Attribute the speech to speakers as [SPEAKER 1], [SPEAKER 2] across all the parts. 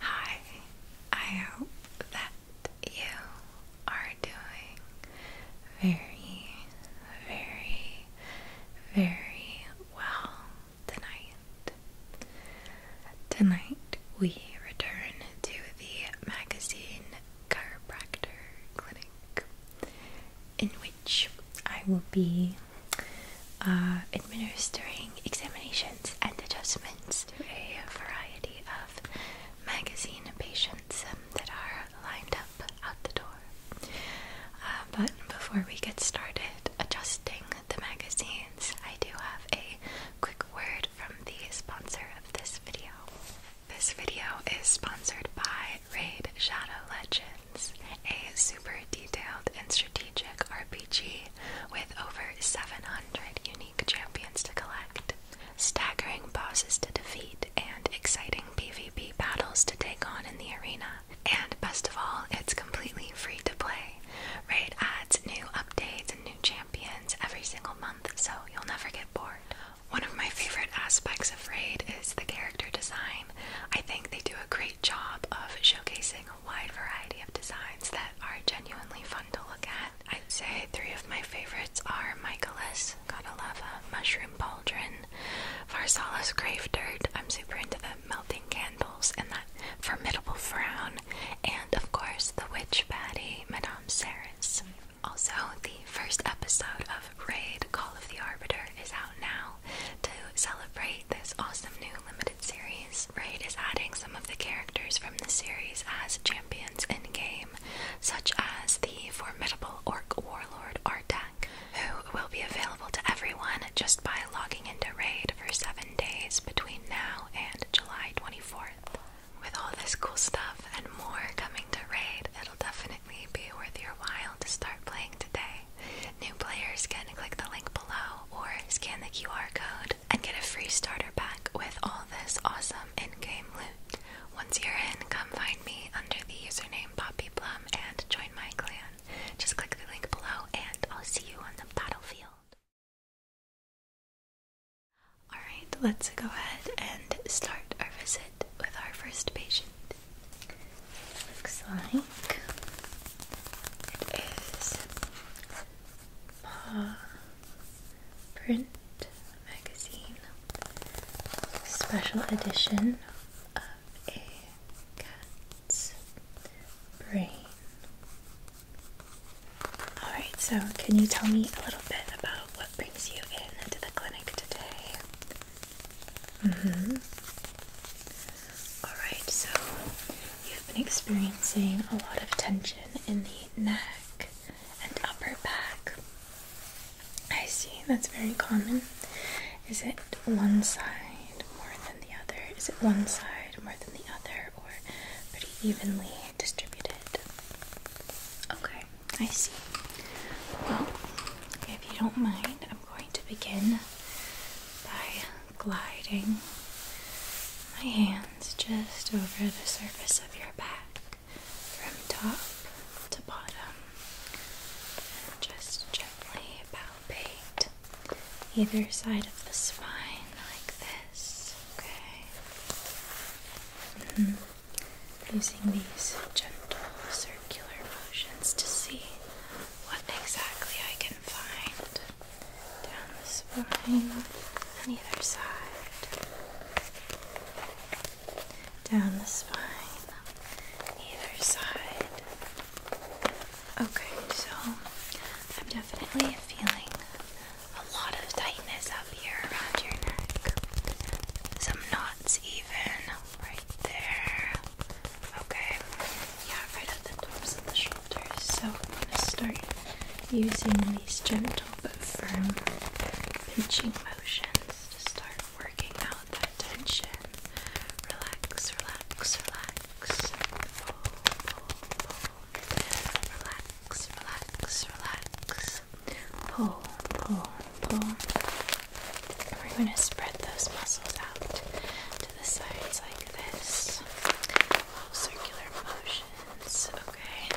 [SPEAKER 1] Hi, I hope that you are doing very, very, very well tonight. Tonight we return to the magazine Chiropractor Clinic, in which I will be uh, administering examinations and adjustments a variety of magazine patients um, that are lined up out the door. Uh, but before we get started adjusting the magazines, I do have a quick word from the sponsor of this video. This video is sponsored by Raid Shadow Legends, a super detailed and strategic RPG with over 700 unique champions to collect, staggering bosses to defeat, and exciting PvP battles to take on in the arena. And best of all, it's completely free to play. Raid adds new updates and new champions every single month, so you'll never get bored. One of my favorite aspects of Raid is the character design. I think they do a great job of showcasing wide variety of designs that are genuinely fun to look at. I'd say three of my favorites are Michaelis, Gotta love a Mushroom Pauldron, Varsalis Grave Dirt. I'm super into the melting candles and that formidable frown, and of course the witch baddie, Madame Saris. Also, the first episode of Raid Call of the Arbiter is out now to celebrate this awesome new limited series, Raid is adding some of the characters from the series as champions in game, such as the formidable orc warlord Artak, who will be available to everyone just by logging into Raid for seven days between now and July 24th. With all this cool stuff and more coming to Raid, it'll definitely be worth your while to start playing today. New players can click the link below or scan the QR code and get a free starter pack with all this awesome in-game loot. Once you're in, come find me under the username Poppy Plum and join my clan. Just click the link below and I'll see you on the battlefield. Alright, let's go ahead and start our visit with our first patient. Looks like it is Ma print magazine special edition of a cat's brain. Alright, so can you tell me a little bit about what brings you in to the clinic today? Mm-hmm. Alright, so i have been experiencing a lot of tension in the neck and upper back. I see, that's very common. Is it one side more than the other? Is it one side more than the other, or pretty evenly distributed? Okay, I see. Well, if you don't mind, I'm going to begin by gliding my hands just over the surface of your back from top to bottom. And just gently palpate either side of the spine like this, okay? Mm-hmm. Using these gentle circular motions to see what exactly I can find down the spine on either side, down the spine on either side. Okay, so I'm definitely feeling a lot of tightness up here around your neck. Some knots, even right there. Okay, yeah, right at the tops of the shoulders. So I'm gonna start using these gentle but firm pinching motions to start working out that tension. Relax, relax, relax. Pull, pull, pull. Relax, relax, relax. Pull, pull, pull. We're going to spread those muscles out to the sides like this. Little circular motions, okay?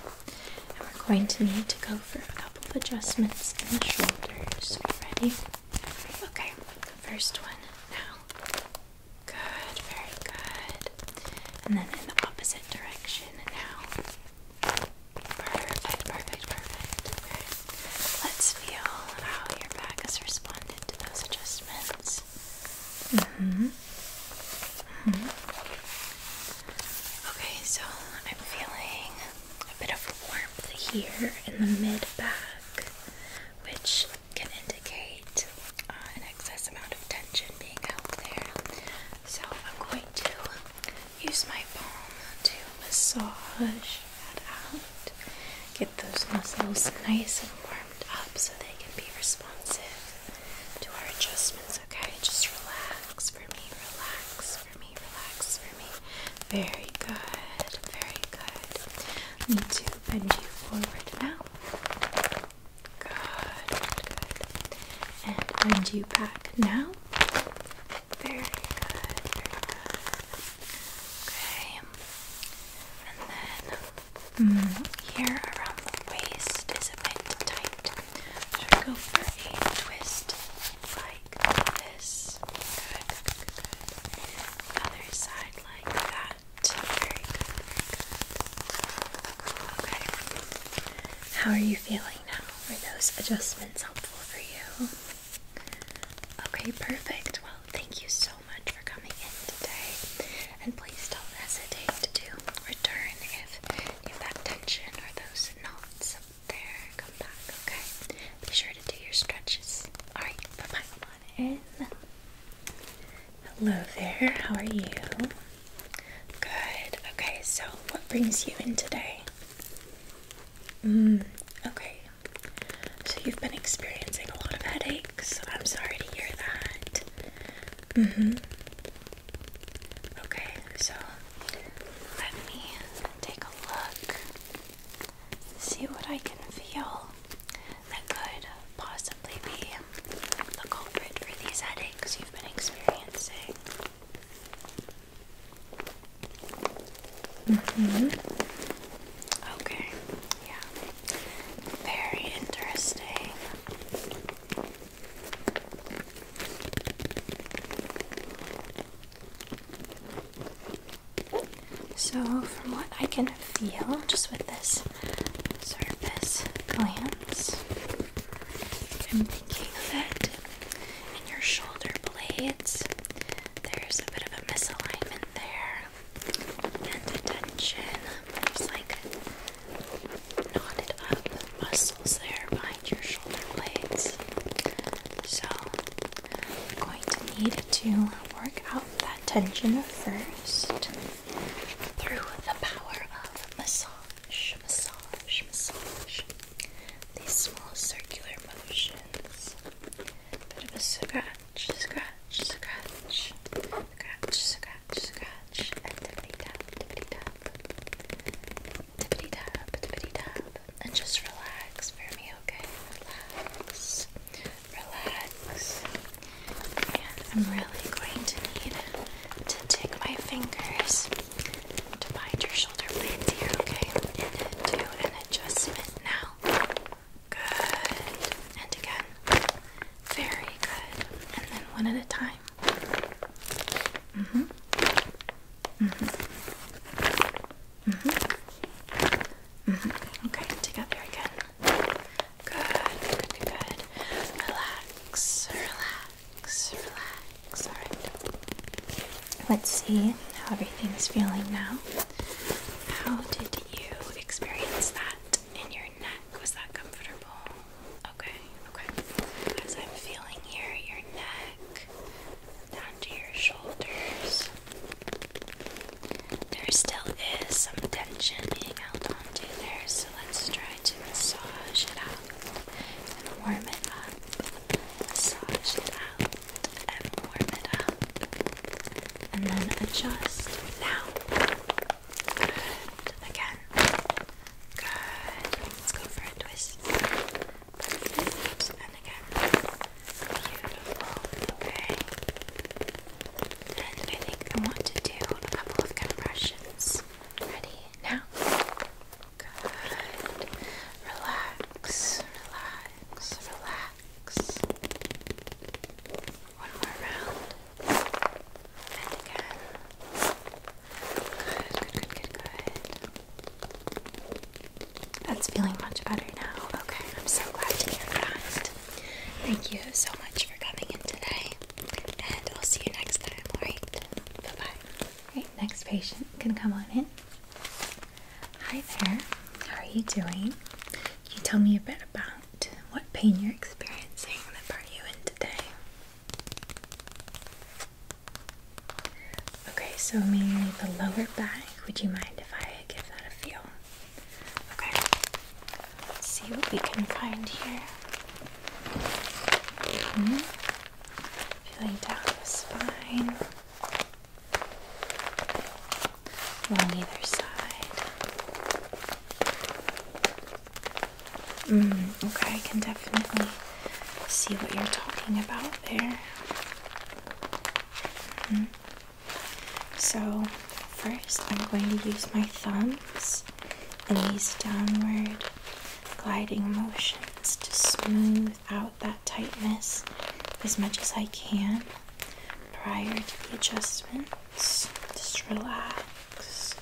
[SPEAKER 1] And we're going to need to go for a couple of adjustments in the shoulders. Are you ready? Okay, the first one now. Good, very good. And then in the opposite direction now. Perfect, perfect, perfect. Okay. Let's feel how your back has responded to those adjustments. Mm-hmm. Mm-hmm. Okay, so I'm feeling a bit of warmth here in the mid back, which can indicate uh, an excess amount of tension being held there. So I'm going to use my palm to massage that out. Get those muscles nice and warm up so they can be responsive to our adjustments, okay? Just relax for me, relax for me, relax for me. Very good, very good. Need to bend you forward now. Good, good. And bend you back now. Very good, very good. Okay. And then Mm, here around the waist is a bit tight. Should go for a twist like this? other side like that. How are you feeling now? Were those adjustments helpful for you? Okay, perfect. Well, thank you so much for coming in today. And please don't hesitate to return if you have that tension or those knots up there. Come back, okay? Be sure to do your stretches. Alright, bye bye. Come on in. Hello there, how are you? Good. Okay, so what brings you in today? Mm, okay. So you've been experiencing a lot of headaches. I'm sorry to hear that. Mm-hmm. Okay, so let me take a look, see what I can feel that could possibly be the culprit for these headaches you've been experiencing. Mm-hmm. Okay, yeah. Very interesting. So, from what I can feel just with this surface glance, I'm thinking that in your shoulder blades there's a bit of a misalignment there and attention. There's like knotted up muscles there behind your shoulder blades. So I'm going to need to work out that tension first through the power of massage, massage, massage. These small circular motions. Bit of a scratch, scratch, scratch. Scratch, scratch, scratch, and tippity tap, tippity tap, tippity tap, tippity tap, and just relax for me, okay? Relax, relax. And I'm really going to need to take my fingers to bind your shoulder blades here, okay? And do an adjustment now. Good. And again. Very good. And then one at a time. Mm-hmm. Mm-hmm. Mm-hmm. Mm-hmm. Okay, take up your again. Good, good, good. Relax, relax, relax. Alright. Let's see how everything's feeling now. How did you experience that in your was that comfortable? Okay, okay. As I'm feeling here, your neck down to your shoulders. There still is some tension being held onto there, so let's try to massage it out and warm it up. Massage it out and warm it up. And then adjust. Now, Good. Again. Good. Let's go for a twist. And again. Beautiful. Okay. And I think I want to do a couple of compressions. Ready? Now? Good. Relax. Relax. Relax. One more round. And again. Good, good, good, good, good. That's feeling much better now. Okay, I'm so glad to hear that. Thank you so much for coming in today. And I'll see you next time, alright? Bye Alright, next patient can come on in. Hi there, how are you doing? you tell me a bit about what pain you're experiencing that brought you in today? Okay, so mainly the lower back. Would you mind if I give that a feel? Okay, let's see what we can find here. Hmm. Feeling down the spine, along either side. Mm, okay, I can definitely see what you're talking about there. Mm-hmm. So, first, I'm going to use my thumbs in these downward gliding motions to smooth out that tightness as much as I can prior to the adjustment just relax,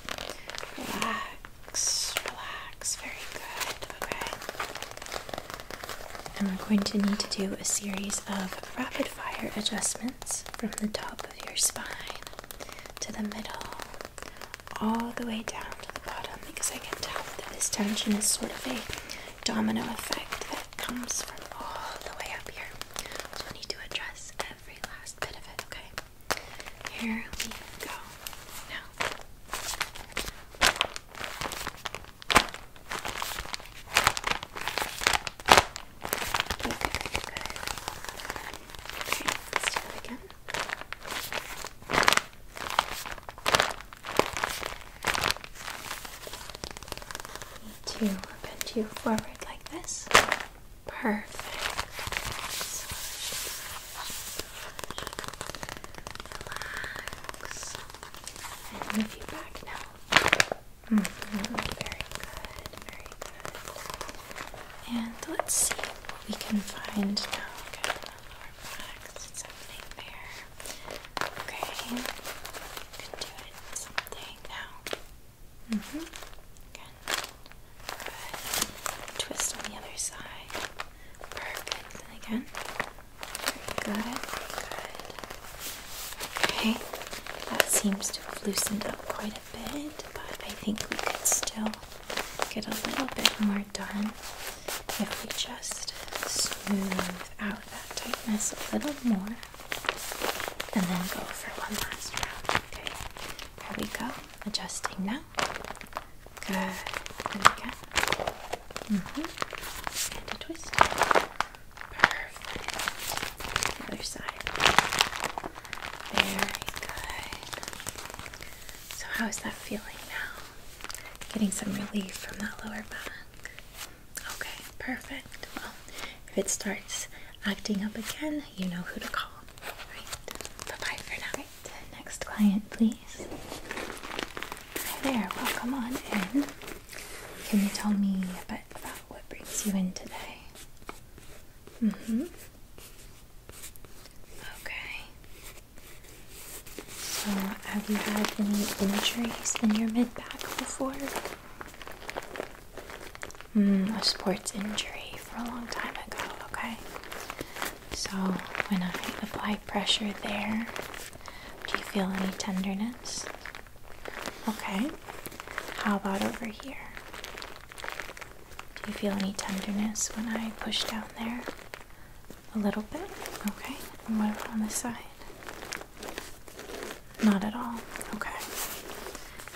[SPEAKER 1] relax, relax. Very good, okay. And we're going to need to do a series of rapid fire adjustments from the top of your spine to the middle, all the way down to the bottom because I can tell that this tension is sort of a domino effect that comes from all the way up here. So we need to address every last bit of it, okay? Here we go. Now. Okay, let's do that again. Need to bend you forward like this. Perfect. Relax. And move you back now. -hmm. Very good, very good. And let's see what we can find now. Okay, lower there. Okay, you can do it something now. Mm-hmm. Twist on the other side. Perfect. again. Very good. Good. Okay. That seems to have loosened up quite a bit, but I think we could still get a little bit more done if we just smooth out that tightness a little more and then go for one last round. Okay, there we go. Adjusting now. Good. And mm-hmm. And a twist. Perfect. The other side. Very good. So, how is that feeling now? Getting some relief from that lower back. Okay, perfect. Well, if it starts acting up again, you know who to call. Right. Bye for now. Next client, please. Hi there. Welcome on in. Can you tell me a bit about what brings you in today? Mm-hmm. Okay. So, have you had any injuries in your mid back before? Mm, a sports injury for a long time ago, okay? So when I apply pressure there, do you feel any tenderness? Okay. How about over here? Do you feel any tenderness when I push down there? A little bit? Okay. And what about on the side? Not at all. Okay.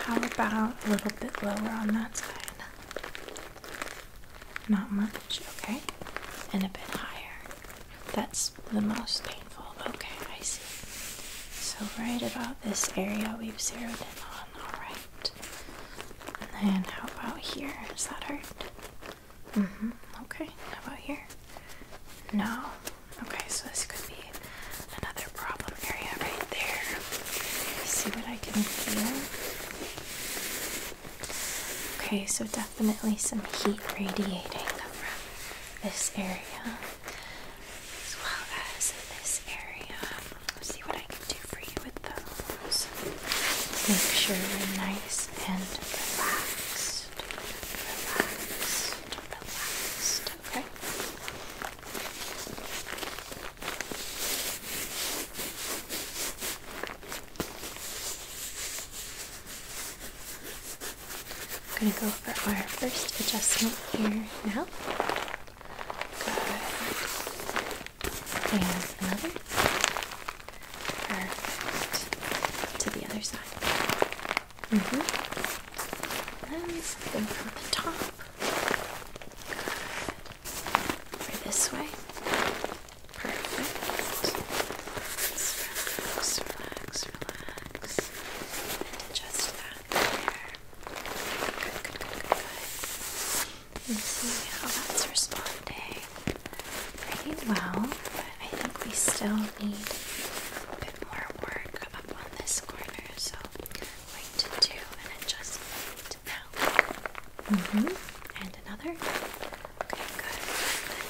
[SPEAKER 1] How about a little bit lower on that side? Not much. Okay. And a bit higher. That's the most painful. Okay, I see. So, right about this area we've zeroed in on. Alright. And then, how about here? Does that hurt? Mm hmm. Okay. How about here? No. Okay, so this could be another problem area right there. See what I can feel. Okay, so definitely some heat radiating from this area as well as this area. Let's see what I can do for you with those. Make sure you're nice and relaxed. Relaxed. Relaxed. Okay. I'm going to go for our first adjustment here now. And another. Perfect. To the other side. Mm-hmm. And the top. Good. Or this way. Perfect. relax, relax, And adjust that there. Good, good, good, good, that's responding. Pretty well, but I think we still need a bit more work up on this corner, so like to do an adjustment now. Mm-hmm. And another. Okay, good.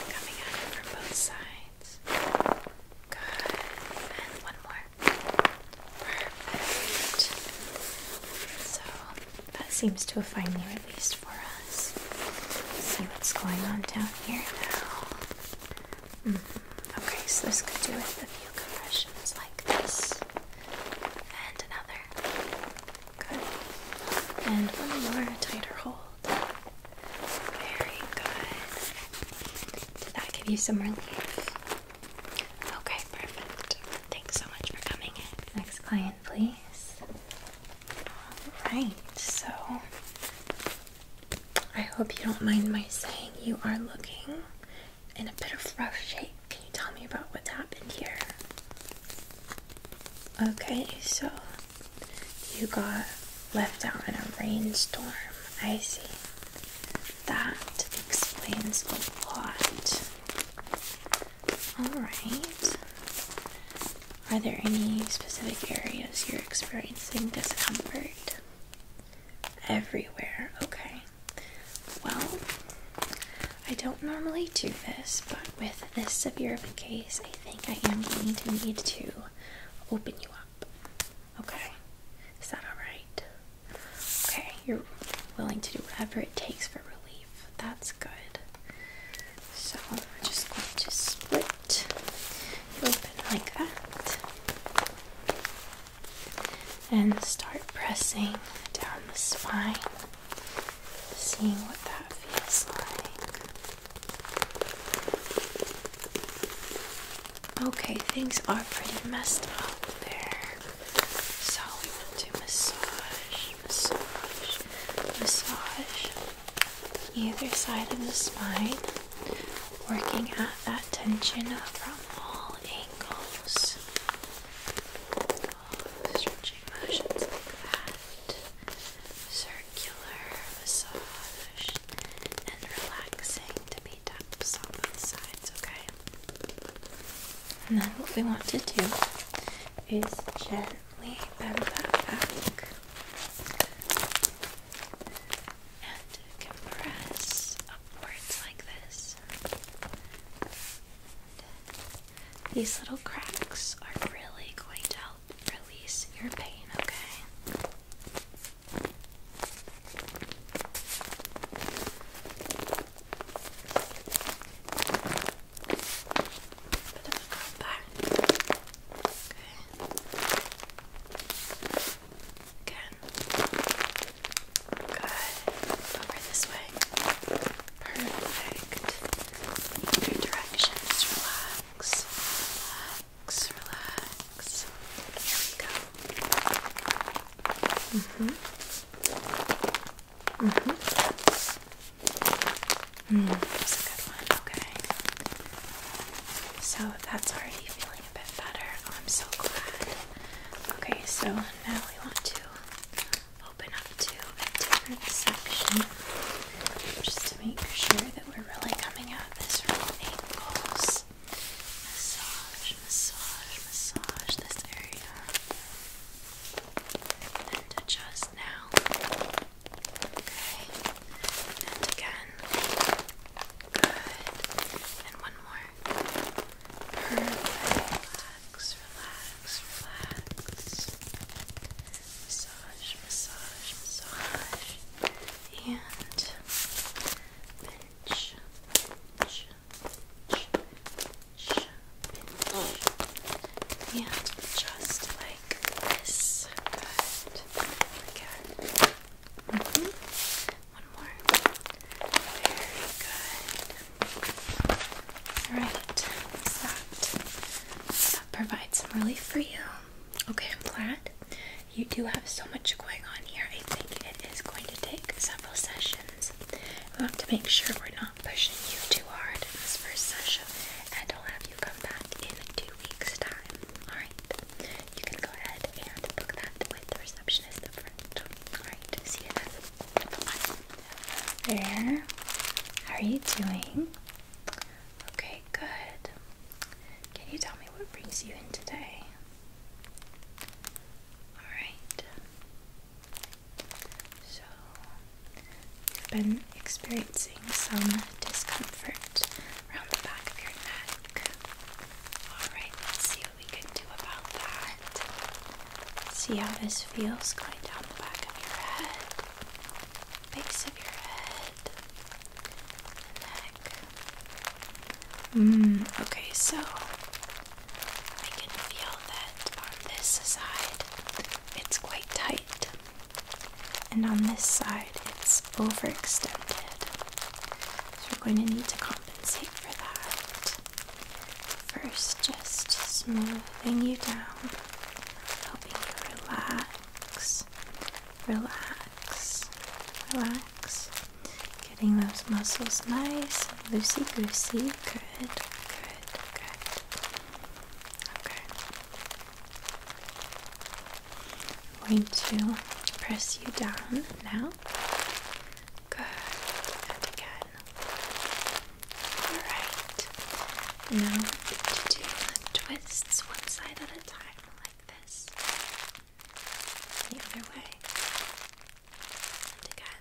[SPEAKER 1] coming at from both sides. Good. And one more. Perfect. So that seems to have finally released for us see what's going on down here now. Mm-hmm. Okay, so this could do with a few compressions like this, and another. Good. And one more, tighter hold. Very good. Did that give you some relief? Okay, perfect. Thanks so much for coming in. Next client, please. Alright, so. I hope you don't mind my saying you are looking in a bit of rough shape. Can you tell me about what happened here? Okay, so you got left out in a rainstorm. I see. That explains a lot. Alright. Are there any specific areas you're experiencing discomfort? Everywhere, okay. Well, I don't normally do this, but with this severe case, I think I am going to need to open you up. Okay, is that alright? Okay, you're willing to do whatever it takes for relief. That's good. So we're just going to split open like that and start pressing down the spine, seeing what that feels like. Okay, things are pretty messed up there, so we want to massage, massage, massage either side of the spine, working at that tension up all angles. Oh, stretching motions like that. Circular massage and relaxing to be taps on both sides, okay? And then what we want to do is gently bend that back and compress upwards like this. these little cracks are really going to help release your pain, okay? Bit of a compact. Okay. Again. Good. Over this way. Perfect. Other direction. relax. Relax. Relax. Here we go. Mm-hmm. hmm mm-hmm. that's a good one. Okay. So that's already feeling little bit better. Oh, I'm so glad. Okay, so now we want to open up to a different section just to make sure that we're really coming out this from Massage, massage, massage this area. And adjust now. Okay. And again. Good. And one more Perfect. Relax, relax, relax. Massage, massage, massage. And pinch, pinch, pinch, pinch. And just like this. again, one more. Very good. Alright, that provides some relief for you. Okay, I'm glad. You do have so much going on here. I think it is going to take several sessions. We have to make sure we're not pushing you too hard in this first session, and I'll have you come back in two weeks' time. Alright? you can go ahead and book that with the receptionist up front. Alright, see you then. Bye. There. How are you doing? Okay, good. Can you tell me what brings you in today? Alright. So, you've been experiencing some discomfort around the back of your neck. Alright, let's see we could do about that. See how this feels going down the back of your head, base of your head, neck. Mm, okay, so I can feel that on this side it's quite tight, and on this side it's overextended. So we're going to need to calm for that. First, just smoothing you down, helping you relax, relax, relax. Getting those muscles nice and loosey goosey. Good, good, good. Okay. I'm going to press you down now. Good. And again. Alright. Now to do the twists one side at a time, like this. The other way. And again.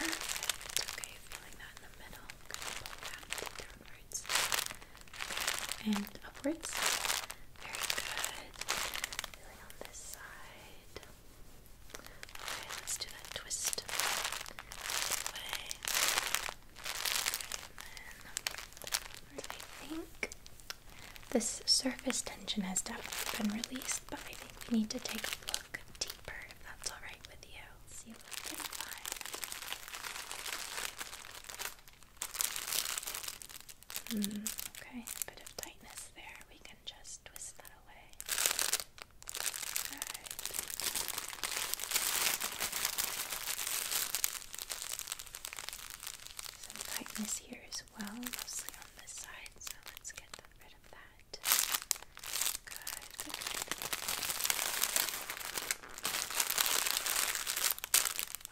[SPEAKER 1] And the other Okay, feeling that in the middle. I'm gonna pull that and upwards. Very good. Feeling on this side. Okay, let's do that twist. This I think this surface tension has definitely been released, but I think we need to take a look deeper if that's alright with you. see what we can Mm, okay, a bit of tightness there. We can just twist that away. All right. Some tightness here as well, mostly on this side, so let's get rid of that. good.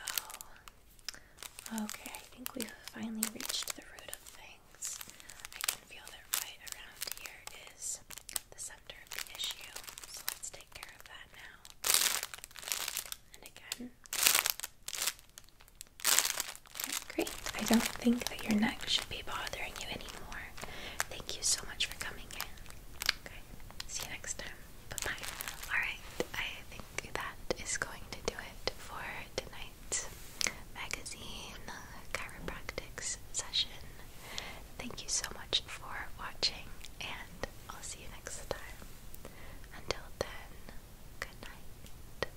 [SPEAKER 1] Oh, Okay, I think we've finally reached the root of things. I can feel that right around here is the center of the issue, let's take care of that now. And again. Great. I don't think that your neck should be bothering you anymore. Thank you so much for coming in. see you next time. Alright, I think that is going to do it for tonight's magazine chiropractics session. Thank you so much for watching, and I'll see you next time. Until then, good night.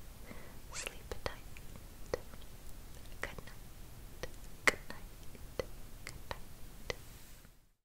[SPEAKER 1] Sleep tight. Good night. Good night. Good night.